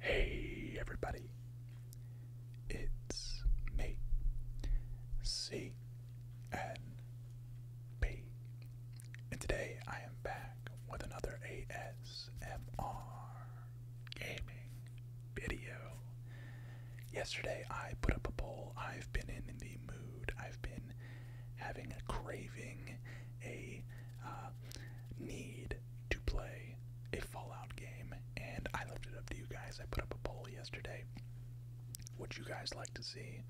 Hey everybody, it's me, C N P, and today I am back with another ASMR gaming video. Yesterday, I put up a poll. I've been in the mood. I've been having a craving, a uh, need to play a Fallout game, and I left it up to you guys. I put up a poll yesterday. Would you guys like to see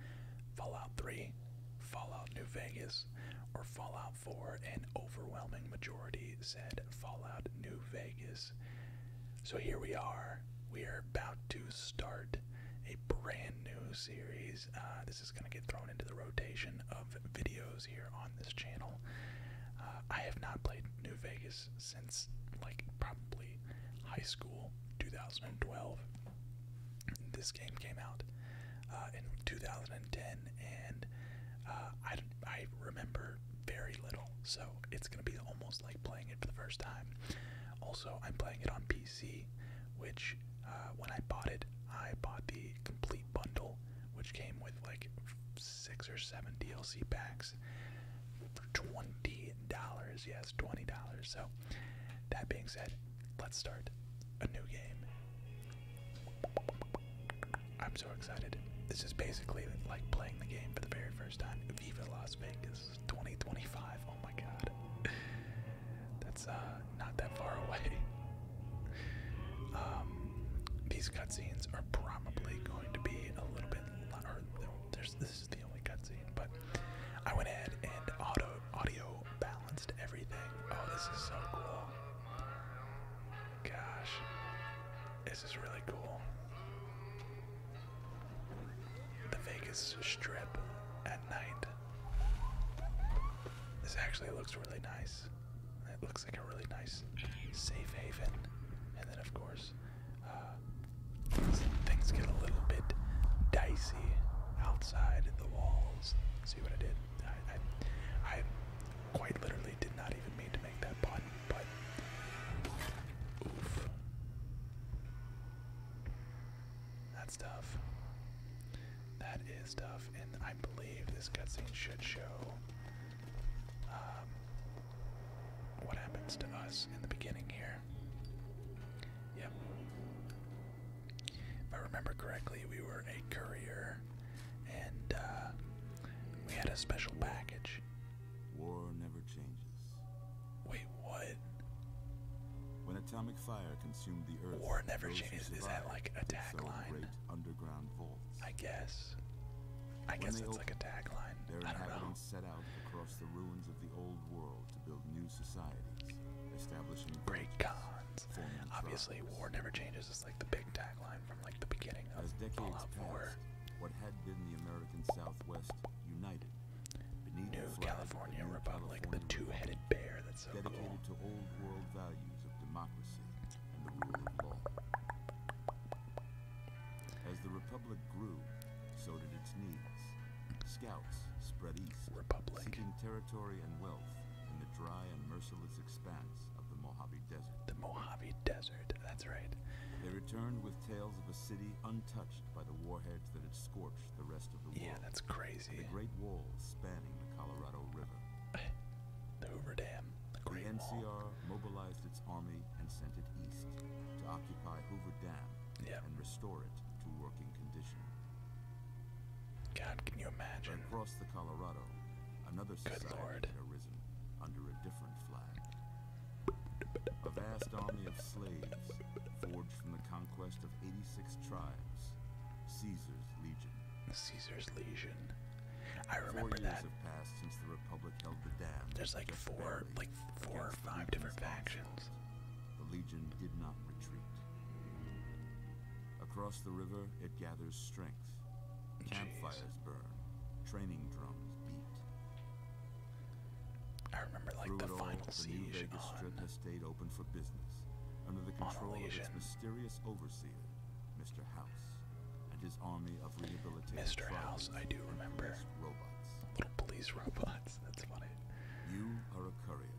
Fallout 3, Fallout New Vegas, or Fallout 4? An overwhelming majority said Fallout New Vegas. So here we are. We are about to start a brand new series. Uh, this is going to get thrown into the rotation of videos here on this channel. Uh, I have not played New Vegas since like probably high school 2012. This game came out uh, in 2010, and I, I remember very little, so it's going to be almost like playing it for the first time. Also, I'm playing it on PC, which uh, when I bought it, I bought the complete bundle, which came with like six or seven DLC packs for twenty dollars. Yes, twenty dollars. So, that being said, let's start a new game. I'm so excited. This is basically like playing the game for the very first time. Viva Las Vegas. 2025. Oh my god. That's uh, not that far away. Um, these cutscenes are probably going to be a little bit. Or this is the only cutscene, but I went ahead and auto audio balanced everything. Oh, this is so cool. Gosh, this is really cool the Vegas Strip at night. This actually looks really nice. It looks like a really nice safe haven. And then, of course, uh, things get a little bit dicey outside the walls. See what I did? I, I, I quite literally did not even mean to make that pun, but oof. That's tough. That is tough, and I believe this cutscene should show um, what happens to us in the beginning here. Yep. If I remember correctly, we were a courier, and uh, we had a special package. War never changes. Wait, what? When atomic fire consumed the earth, war never changes. Is that like a tagline? I guess. I guess it's like a tagline. Their I don't know. set out across the ruins of the old world to build new societies, establishing great cons. Obviously, war never changes It's like the big tagline from like the beginning of As decades Passed, what had been the American Southwest united New California Republic, the two-headed bear. That's so dedicated cool. to old world values of democracy and the rule of law. As the Republic grew, so did its needs. Scouts spread east, seeking territory and wealth in the dry and merciless expanse of the Mojave Desert. The Mojave Desert, that's right. They returned with tales of a city untouched by the warheads that had scorched the rest of the world. Yeah, that's crazy. The Great Wall spanning the Colorado River. the Hoover Dam, the NCR mobilized its army and sent it east to occupy Hoover Dam and restore it to working condition. God, can you imagine? Across the Colorado, another society had arisen under a different flag. A vast army of slaves forged from the conquest of 86 tribes. Caesar's Legion. Caesar's Legion. I remember that. There's like four, like four or five different factions. The Legion did not retreat. Across the river, it gathers strength. Campfires burn, training drums beat. I remember like the final all, the New Vegas Strip has stayed open for business under the control of its mysterious overseer, Mr. House, and his army of rehabilitated Mr. House, I do remember. Robots. Little police robots. That's funny. You are a courier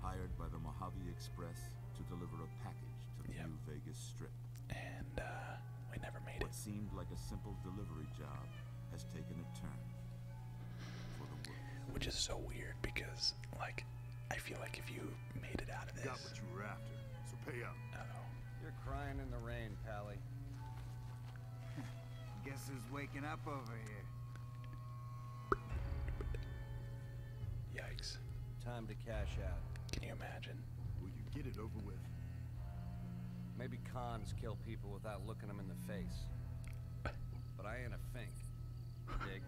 hired by the Mojave Express to deliver a package to the New Vegas Strip. And uh, we never made it. it. seemed like a simple delivery job which is so weird because, like, I feel like if you made it out of this, got what you so pay up. You're crying in the rain, Pally. Guess who's waking up over here? Yikes. Time to cash out. Can you imagine? Will you get it over with? Maybe cons kill people without looking him in the face. But I ain't a fink. Dig.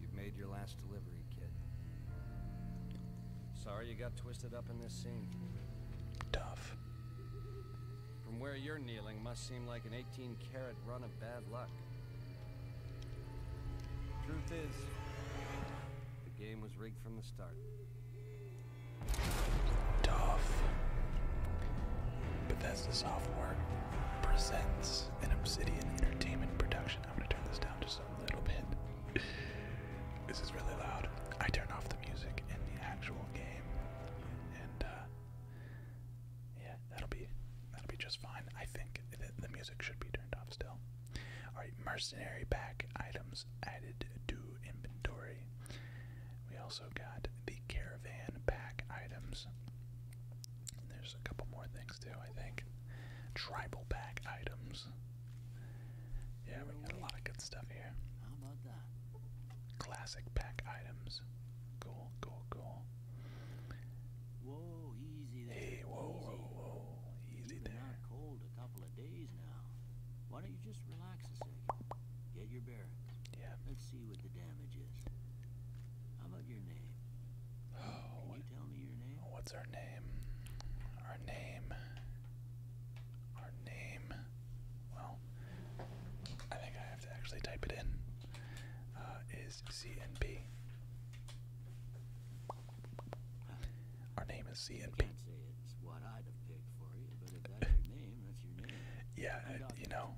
You've made your last delivery, kid. Sorry you got twisted up in this scene. Tough. From where you're kneeling must seem like an 18 carat run of bad luck. Truth is, the game was rigged from the start. Tough. Bethesda Software presents an Obsidian Entertainment production. I'm going to turn this down just a little bit. this is really loud. I turn off the music in the actual game, and uh, yeah, that'll be that'll be just fine. I think the music should be turned off still. Alright, mercenary pack items added to inventory. We also got the caravan pack items. There's a couple more things too, I think. Tribal pack items. Yeah, we got a lot of good stuff here. How about that? Classic pack items. Cool, cool, cool. Whoa, easy there. whoa, whoa, whoa, easy there of days now. Why don't you just relax a second? Get your bearings. Yeah. Let's see what the damage is. How about your name? Oh, What's our name? Our name. Our name. Well, I think I have to actually type it in. Uh, is C our name is CNP. Yeah, you know,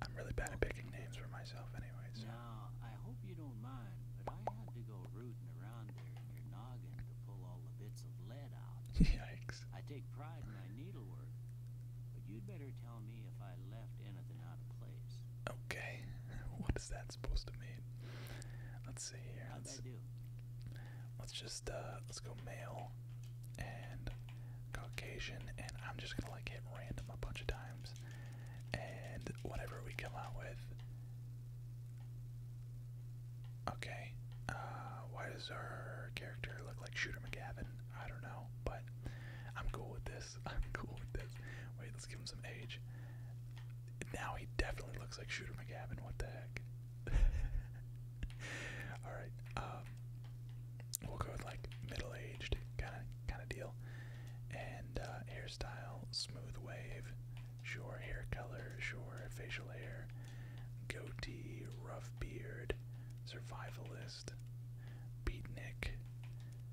I'm really bad at picking names for myself, anyways. Now, I hope you don't mind, but I had to go rooting around there in your noggin to pull all the bits of lead out. Yikes! I take pride in my needlework, but you'd better tell me if I left anything out of place. Okay, what does that supposed to mean. Let's see here. Let's, let's just uh, let's go male and Caucasian, and I'm just gonna like hit random a bunch of times, and whatever we come out with. Okay, uh, why does our character look like Shooter McGavin? I don't know, but I'm cool with this. I'm cool with this. Wait, let's give him some age. Now he definitely looks like Shooter McGavin. What the heck? All right. Um, we'll go with like middle-aged kind of kind of deal, and uh, hairstyle, smooth wave, sure hair color, sure facial hair, goatee, rough beard, survivalist, beatnik,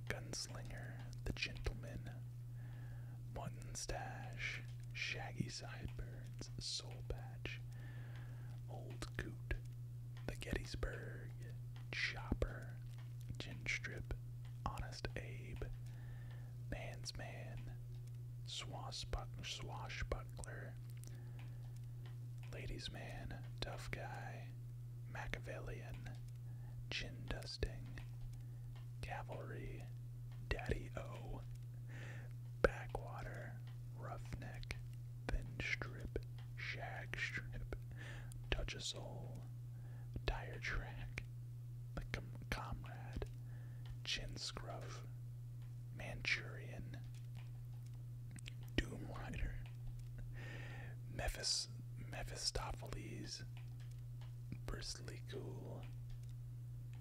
gunslinger, the gentleman, Mutton Stash, Shaggy Sideburns, Soul Patch, Old goot, The Gettysburg, Chopper, strip, Honest Abe, Man's Man, Swashbuckler, Ladies Man, Tough Guy, Machiavellian, Chin Dusting, Cavalry, Daddy O, Backwater, Roughneck, Thin Strip, Shag Strip, Touch a Soul, Tire Track, The Comrade, Chin Scruff, Manchurian, Doom Rider, Mephis Mephistopheles, Br Grizzly Ghoul,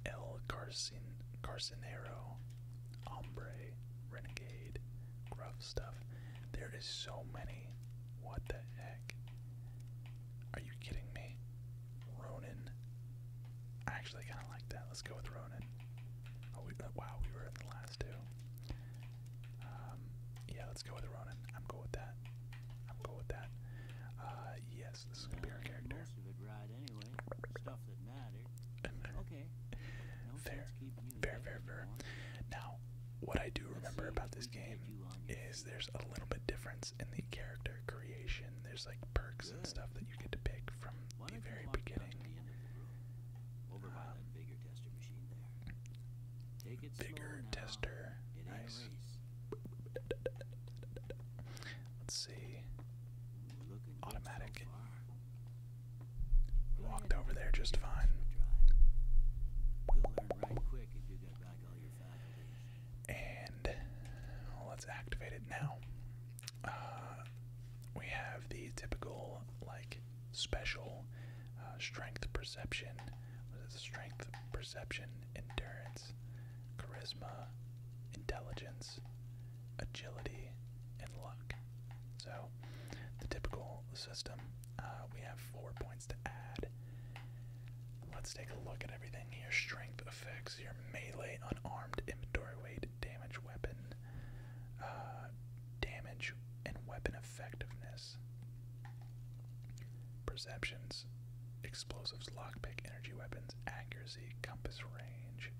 El Carcin Carcinero, Renegade, Gruff Stuff. There is so many. What the heck? Are you kidding me? Ronin. actually kind of like that. Let's go with Ronin. Oh, uh, wow, we were in the last two. Um, yeah, let's go with Ronin. I'm going with that. I'm going with that. Uh, this is gonna be our character. okay. No fair. Fair, Now, what I do remember about this game is there's a little bit difference in the character creation. There's like perks and stuff that you get to pick from the very beginning. Um, bigger tester Nice. Automatic. We walked over there just fine. And let's activate it now. Uh, we have the typical, like, special uh, strength perception. What is Strength perception, endurance charisma, intelligence, agility, and luck. So, the typical system, uh, we have four points to add. Let's take a look at everything here. Strength affects your melee, unarmed, inventory weight, damage, weapon, uh, damage, and weapon effectiveness perceptions, explosives, lockpick, energy weapons, accuracy, compass range.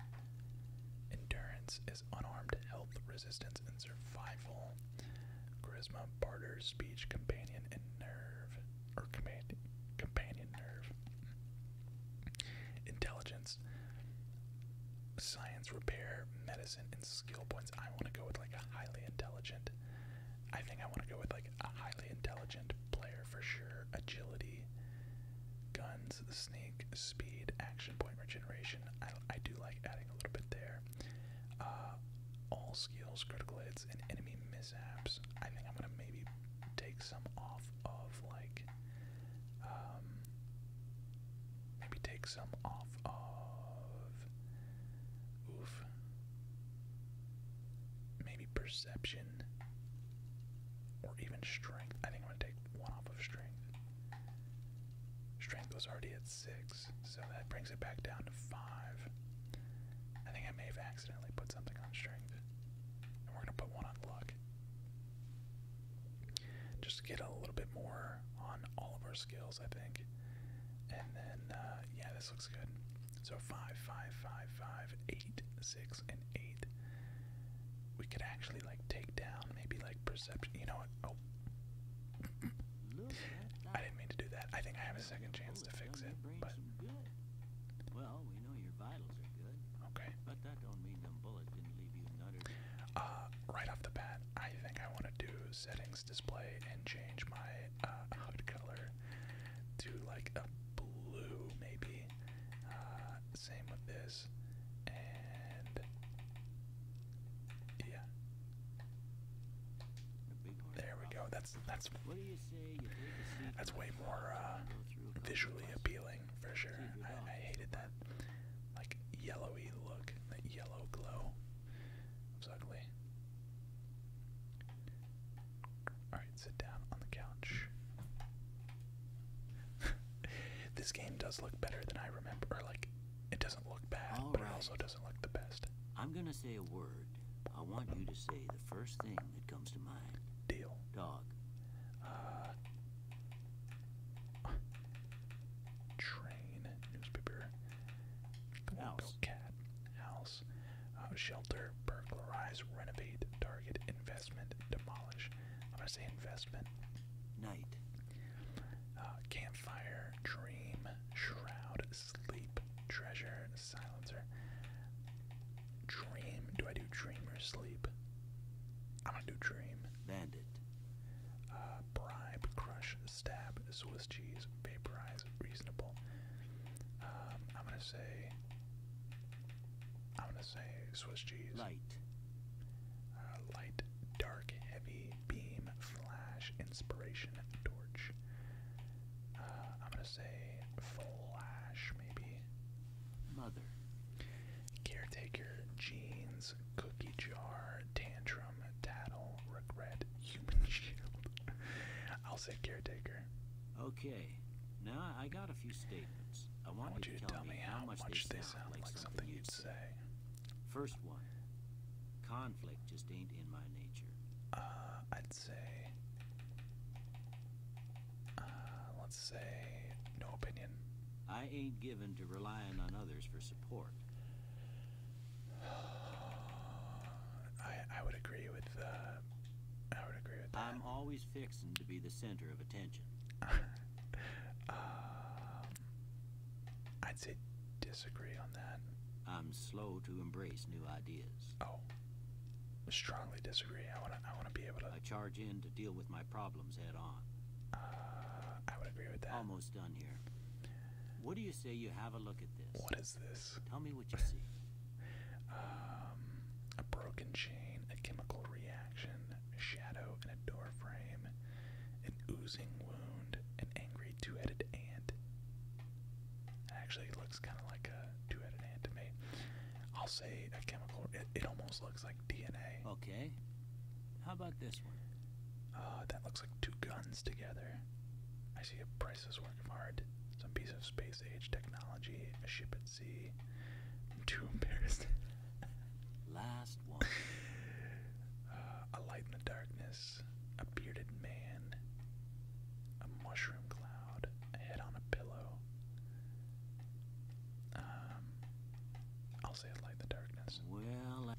Endurance is unarmed, health, resistance, and survival. Charisma, barter, speech, companion, and nerve. Or companion, companion nerve. Intelligence, science, repair, medicine, and skill points. I want to go with like a highly intelligent. I think I want to go with like a highly intelligent player for sure. Agility, guns, snake, speed, action point regeneration. I, I do like adding a little bit there. Uh, all skills, critical hits, and enemy mishaps. I think I'm gonna maybe take some off of like, um, maybe take some off of. Oof. Maybe perception or even strength. I think I'm going to take one off of strength. Strength was already at 6, so that brings it back down to 5. I think I may have accidentally put something on strength. And we're going to put one on luck. Just to get a little bit more on all of our skills, I think. And then, uh, yeah, this looks good. So five, five, five, five, eight, six, and eight. We could actually like take down maybe like perception. You know what? Oh, I didn't mean to do that. I think I have a second chance to fix it. But Okay. Uh, right off the bat, I think I want to do settings, display, and change my uh, color do like a blue maybe. Uh, same with this. And yeah. There we go. That's that's that's way more uh, visually appealing for sure. I, hated that like yellowy look, that yellow glow. It ugly. All right, sit down on the couch. this game does look better than I remember. Or, like, it doesn't look bad, it also doesn't look the best. I'm gonna say a word. I want you to say the first thing that comes to mind. Deal. Dog. Uh. Train, newspaper, house. cat, house, uh, shelter, burglarize, renovate, target, investment, demolish. I'm gonna say investment. Night. Uh, campfire, dream, shroud, sleep, treasure, silencer. Dream. Do I do dream or sleep? I'm gonna do dream. Bandit. Uh, bribe, crush, stab, Swiss cheese, vaporize, reasonable. Um, I'm gonna say I'm gonna say Swiss cheese. Light. Uh, light, dark, heavy, beam, flash, inspiration, torch. Uh, I'm gonna say flash, maybe. Mother. Caretaker, jeans, cookie jar, tantrum, tattle, regret, human shield. I'll say caretaker. Okay, now I got a few statements. I want, you to, tell, me how much, much they sound like, something you'd say. First one. Conflict just ain't in my nature. Uh, I'd say... Uh, let's say no opinion. I ain't given to relying on others for support. I, I would agree with uh, I would agree with that. I'm always fixing to be the center of attention. Um, I'd say disagree on that. I'm slow to embrace new ideas. Oh, strongly disagree. I wanna, I wanna be able to. I charge in to deal with my problems head on. Uh, I would agree with that. Almost done here. What do you say you have a look at this? What is this? Tell me what you see. Um, a broken chain, a chemical reaction, a shadow in a door frame, an oozing wound, an angry two-headed ant. Actually, it looks kind of like a two-headed ant to me. I'll say a chemical. It, almost looks like DNA. Okay. How about this one? Uh, that looks like two guns together. I see a priceless work of art, some piece of space age technology, a ship at I'm too embarrassed. Last one. a light in the darkness. A bearded man. A mushroom cloud. A head on a pillow. Um, I'll say a light in the darkness. Well, I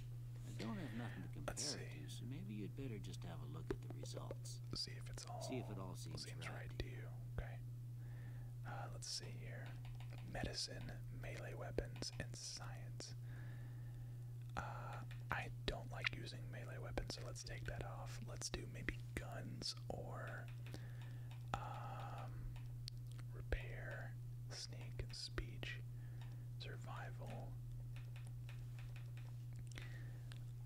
don't have nothing to compare let to, so maybe you'd better just have a look at the results. See if it's all. See if it all seems seems right to you. Okay. Uh, let's see here. Medicine, melee weapons, and science. Uh, I don't like using melee weapons, so let's take that off. Let's do maybe guns or um, repair, sneak, speech, survival.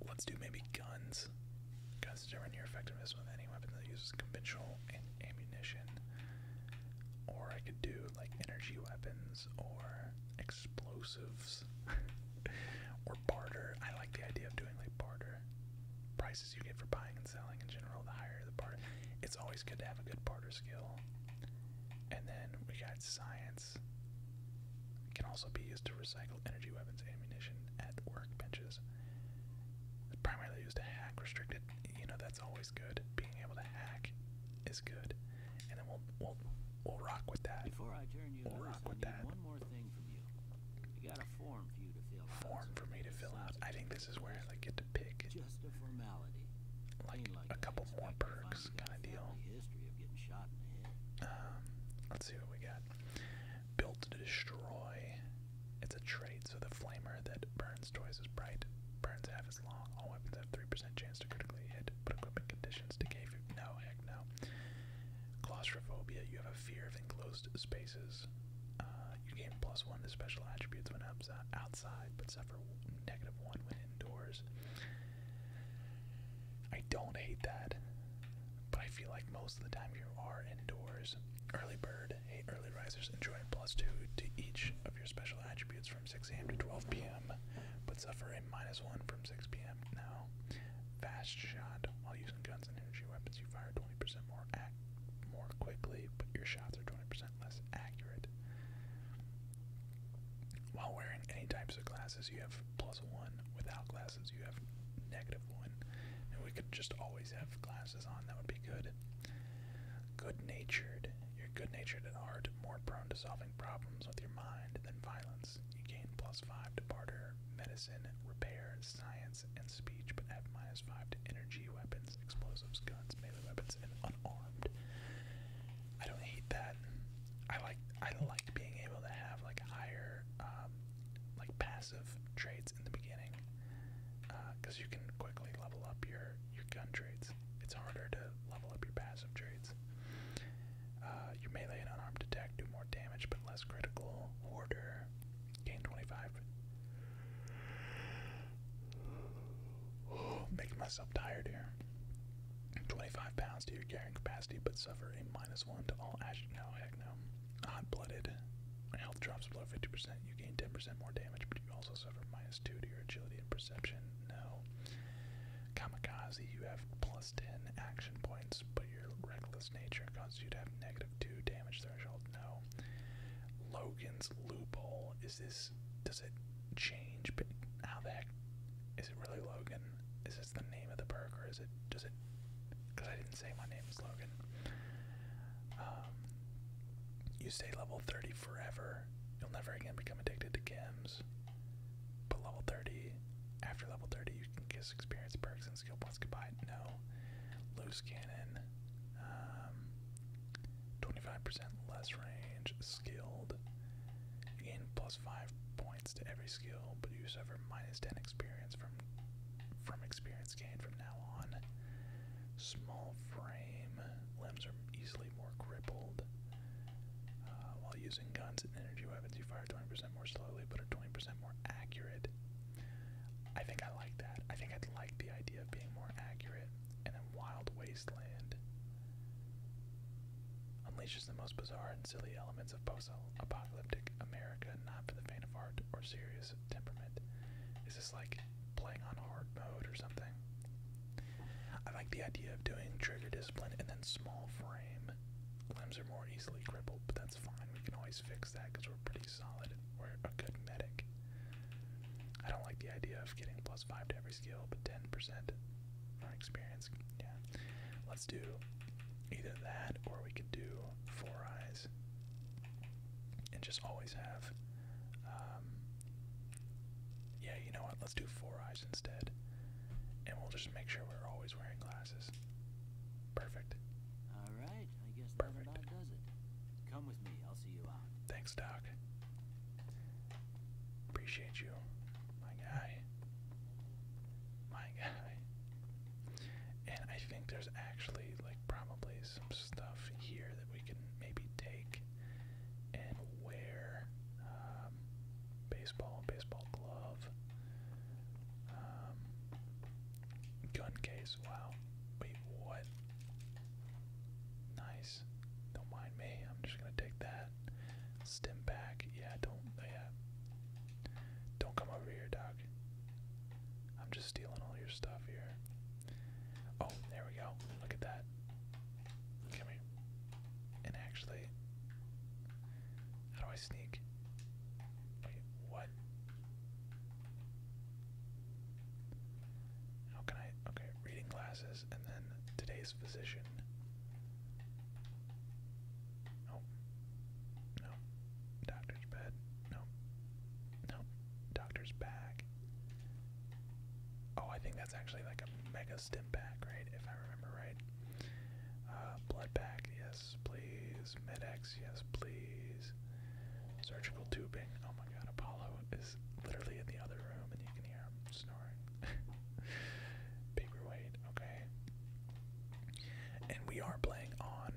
Let's do maybe guns adjusts to your effectiveness with any weapon that uses conventional ammunition. Or I could do like energy weapons or explosives or barter. I like the idea of doing like barter. Prices you get for buying and selling in general, the higher the barter. It's always good to have a good barter skill. And then we got science can also be used to recycle energy weapons ammunition at workbenches. It's primarily used to hack restricted. You know that's always good. Being able to hack is good, and we'll we'll we'll rock with that. we'll rock with that. form for me to fill out. I think this is where I get to pick. Like, a couple more perks kind of deal. Um, let's see what we got. Built to destroy. It's a trait, so the flamer that burns twice as bright burns half as long. All weapons have 3% chance to critically hit, but equipment conditions decay. No, heck no. Claustrophobia, you have a fear of enclosed spaces. Uh, you gain plus one to special attributes when uh, outside, but suffer negative one when indoors. I don't hate that. But I feel like most of the time you are indoors. Early bird, hey, early risers enjoy plus two to each of your special attributes from 6 a.m. to 12 p.m., but suffer a minus one from 6 p.m. Now, fast shot. While using guns and energy weapons, you fire 20% more ac more quickly, but your shots are 20% less accurate. While wearing any types of glasses, you have plus one. Without glass classes, you have negative one. And we could just always have classes on, that would be good. Good natured. You're good natured at heart, more prone to solving problems with your mind than violence. You gain plus five to barter, medicine, repair, science, and speech, but have minus five to energy, weapons, explosives, guns, melee weapons, and unarmed. I don't hate that. I like I like being able to have like higher um like passive of trades in the beginning because uh, you can quickly level up your your gun trades. It's harder to level up your passive trades. Uh, your melee and unarmed attack do more damage but less critical. Order gain 25. making myself tired here. 25 pounds to your carrying capacity, but suffer a minus one to all action. No, heck no. Hot blooded. Health drops below 50%. You gain 10% more damage, but you also suffer minus 2 to your agility and perception. No. Kamikaze, you have plus 10 action points, but your reckless nature causes you to have negative 2 damage threshold. No. Logan's loophole. Is this. Does it change? But How the heck. Is it really Logan? Is this the name of the perk or is it does it because I didn't say my name slogan. Um, you stay level 30 forever. You'll never again become addicted to gems. But level 30, after level 30, you can kiss experience perks and skill points goodbye. No. Loose cannon. 25% um, less range. Skilled. in plus five point to every skill, but you suffer minus 10 experience from from experience gained from now on. Small frame, limbs are easily more crippled. Uh, while using guns and energy weapons, you fire 20% more slowly, but are 20% more accurate. I think I like that. I think I'd like the idea of being more accurate. And then Wild Wasteland unleashes the most bizarre and silly elements of po also, apocalyptic America, not for the faint of heart or serious temperament. Is this like playing on hard mode or something? I like the idea of doing trigger discipline and then small frame. Limbs are more easily crippled, but that's fine. We can always fix that because we're pretty solid. We're a good medic. I don't like the idea of getting plus 5 to every skill, but 10% on experience. Yeah. Let's do either that or we could do four eyes and just always have. Um, yeah, you know what? Let's do four eyes instead. And we'll just make sure we're always wearing glasses. Perfect. All right, I guess that Perfect. about does it. Come with me, I'll see you out. Thanks, Doc. Appreciate you, my guy my guy. And I think there's actually like probably some stuff here that we can maybe take and wear. Um, baseball, baseball glove, um, gun case. Wow. Wait, what? Nice. Don't mind me. I'm just gonna take that. Stim back. Yeah, don't. Yeah. Don't come over here, dog. I'm just stealing all your stuff here. Oh, there we go. Look at that. Come here. And actually, how do I sneak? Wait, what? How can I? Okay, reading glasses and then today's physician. Nope. Nope. Doctor's bed. Nope. Nope. Doctor's bag. Oh, I think that's actually like a mega stim pack, right? If I remember right. Uh, blood pack, yes, please. Medex, yes, please. Surgical tubing. Oh my god, Apollo is literally in the other room and you can hear him snoring. Paperweight, okay and we are playing on.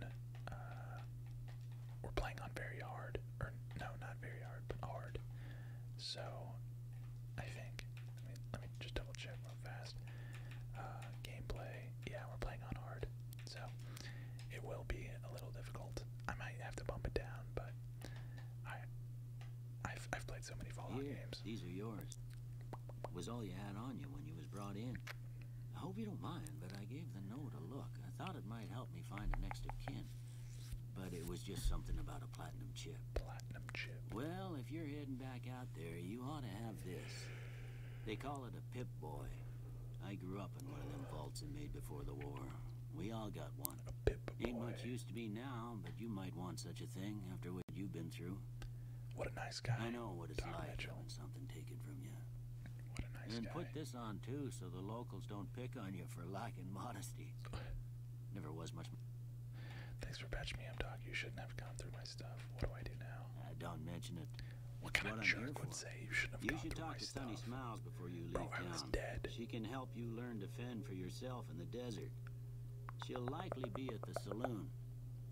Uh, we're playing on very hard, or no, not very hard, but hard. So, I think. Let me let me just double check real fast. Uh, gameplay. Yeah, we're playing on hard, so it will be a little difficult. I might have to bump it down, but I I've I've played so many Fallout Here, games. These are yours was all you had on you when you was brought in. I hope you don't mind, but I gave the note a look. I thought it might help me find a next of kin. But it was just something about a platinum chip. Platinum chip. Well, if you're heading back out there, you ought to have this. They call it a pip boy. I grew up in one of them vaults they made before the war. We all got one. Ain't much use to me now, but you might want such a thing after what you've been through. What a nice guy. I know what it's like Mitchell. having something taken from you. and put this on too, so the locals don't pick on you for lacking modesty. Never was much. Thanks for patching me up, Doc. You shouldn't have gone through my stuff. What do I do now? Uh, don't mention it. What kind what of jerk would say you shouldn't have gone through my stuff? You should talk to Sunny Smiles before you leave town. She can help you learn to fend for yourself in the desert. She'll likely be at the saloon.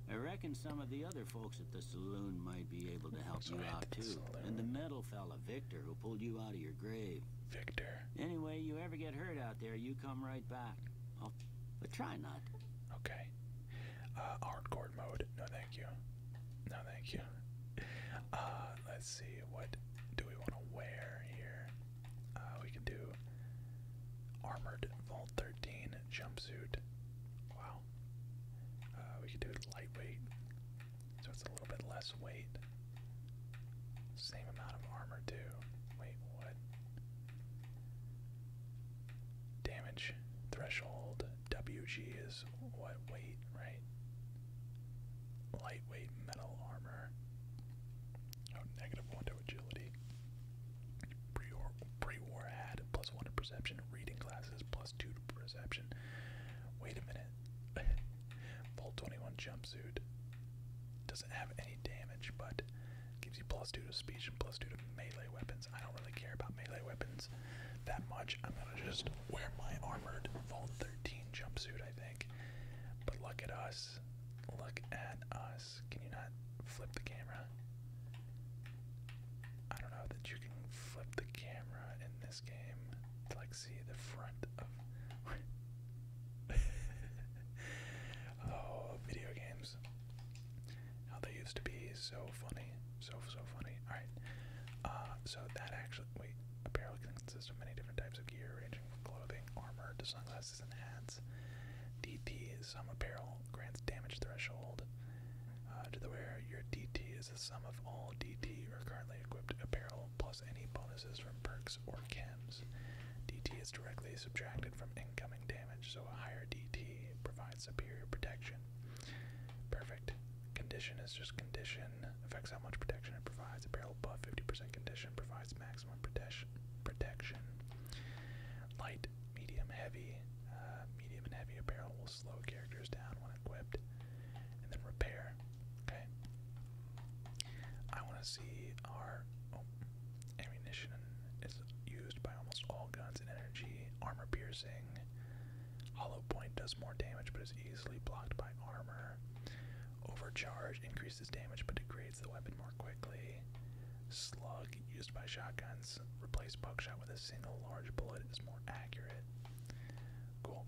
I reckon some of the other folks at the saloon might be able to help you out too. And the metal fella, Victor, who pulled you out of your grave. Victor. Anyway, you ever get hurt out there, you come right back. I'll, but try not. Okay. Uh, hardcore mode. No, thank you. No, thank you. Uh, let's see. What do we want to wear here? Uh, we can do armored Vault 13 jumpsuit. Wow, uh, we could do lightweight, so it's a little bit less weight. Same amount of armor, too. Wait, what? Damage threshold WG is what weight, right? Lightweight metal armor. Oh, negative one to agility. Pre-war, had plus one to perception. Reading glasses plus two to perception. Wait a minute. Vault 21 jumpsuit doesn't have any damage, but gives you plus two to speech and plus two to melee weapons. I don't really care about melee weapons that much. I'm gonna just wear my armored Vault 13 jumpsuit, I think. But look at us. Look at us. Can you not flip the camera? I don't know that you can flip the camera in this game to like see the front of. oh, video games. How they used to be so funny. So, so funny. Alright. Uh, so that actually. Wait. Apparel can consist of many different types of gear, ranging from clothing, armor, to sunglasses, and hats. DT is some apparel grants damage threshold uh, to the where your DT is the sum of all DT or currently equipped apparel plus any bonuses from perks or kems. DT is directly subtracted from incoming damage, so a higher DT provides superior protection. Perfect. Condition is just condition, affects how much protection it provides. Apparel above 50% condition provides maximum protection. Protection. Light medium heavy. Uh, medium and heavy apparel will slow characters down when equipped. And then repair. Okay. I want to see our oh, ammunition is used by almost all guns and energy. Armor piercing. Hollow point does more damage but is easily blocked by armor. Overcharge increases damage but degrades the weapon more quickly. Slug used by shotguns. Replace buckshot with a single large bullet is more accurate. Cool.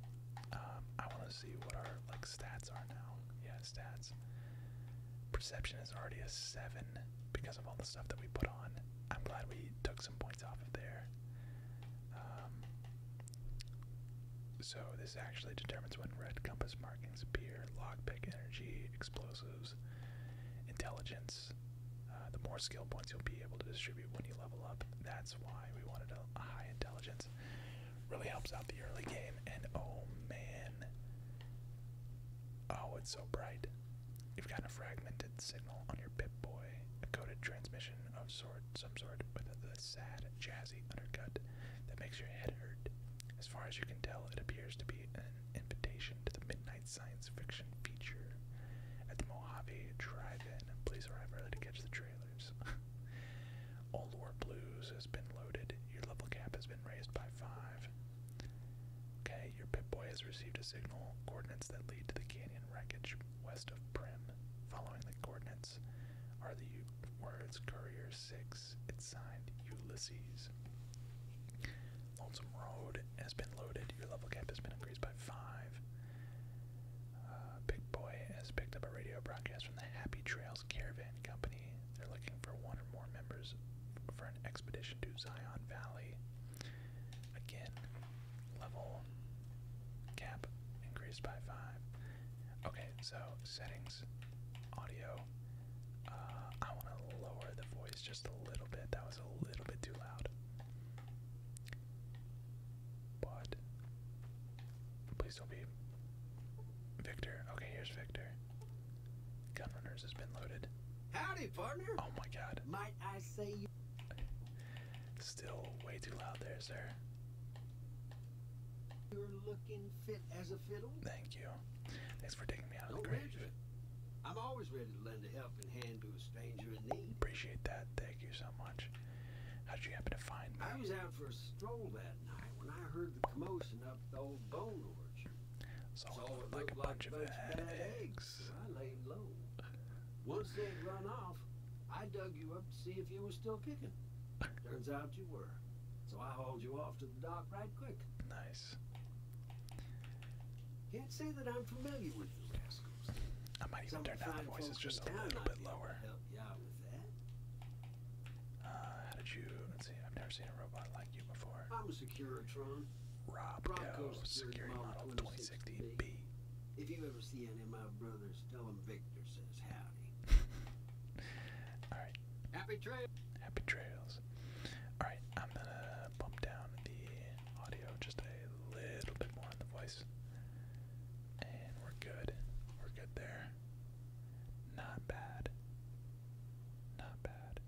Um, I want to see what our like stats are now. Yeah, stats. Perception is already a seven because of all the stuff that we put on. I'm glad we took some points off of there. Um, so this actually determines when red compass markings appear. Lockpick energy, explosives, intelligence. Uh, the more skill points you'll be able to distribute when you level up. That's why we wanted a, high intelligence. Really helps out the early game, and oh man. Oh, it's so bright. You've got a fragmented signal on your Pip Boy, a coded transmission of sort, some sort, with a, a sad, jazzy undercut that makes your head hurt. As far as you can tell, it appears to be an invitation to the midnight science fiction feature at the Mojave Drive-In. Please arrive early to catch the trailers. Old War Blues has been loaded. Your level cap has been raised by five. Okay, your Pip-Boy has received a signal. Coordinates that lead to the canyon wreckage west of Prim. Following the coordinates are the words Courier 6. It's signed Ulysses. Lonesome Road has been loaded. Your level cap has been increased by five. Uh, Big Boy has picked up a radio broadcast from the Happy Trails Caravan Company. They're looking for one or more members for an expedition to Zion Valley. Again, level cap increased by five. Okay, so settings, audio. Uh, I want to lower the voice just a little bit. That that a little bit too loud. But please don't be Victor. Okay, here's Victor. Gun runners has been loaded. Howdy, partner. Oh my God. Might I say you? Still way too loud there, sir. You're looking fit as a fiddle. Thank you. Thanks for taking me out of the grave. I'm always ready to lend a hand helping Appreciate that. Thank you so much. How would you happen to find me? I was out for a stroll that night when I heard the commotion up the old bone orchard. So it looked like a bunch, of bad eggs. eggs. I laid low. Once they'd run off, I dug you up to see if you were still kicking. Turns out you were. So I hauled you off to the dock right quick. Nice guys. Can't say that I'm familiar with the Rascals. I might even turn down the voices just a little bit lower. Uh, how did you? Let's see. I've never seen a robot like you before. I'm a Securitron. Robco Security Model 2016B. If you ever see any of my brothers, tell them Victor says howdy. All right. Happy trails. Happy trails. All right. I'm gonna bump down the audio just a little bit more on the voice. And we're good. We're good there. Not bad. Not bad.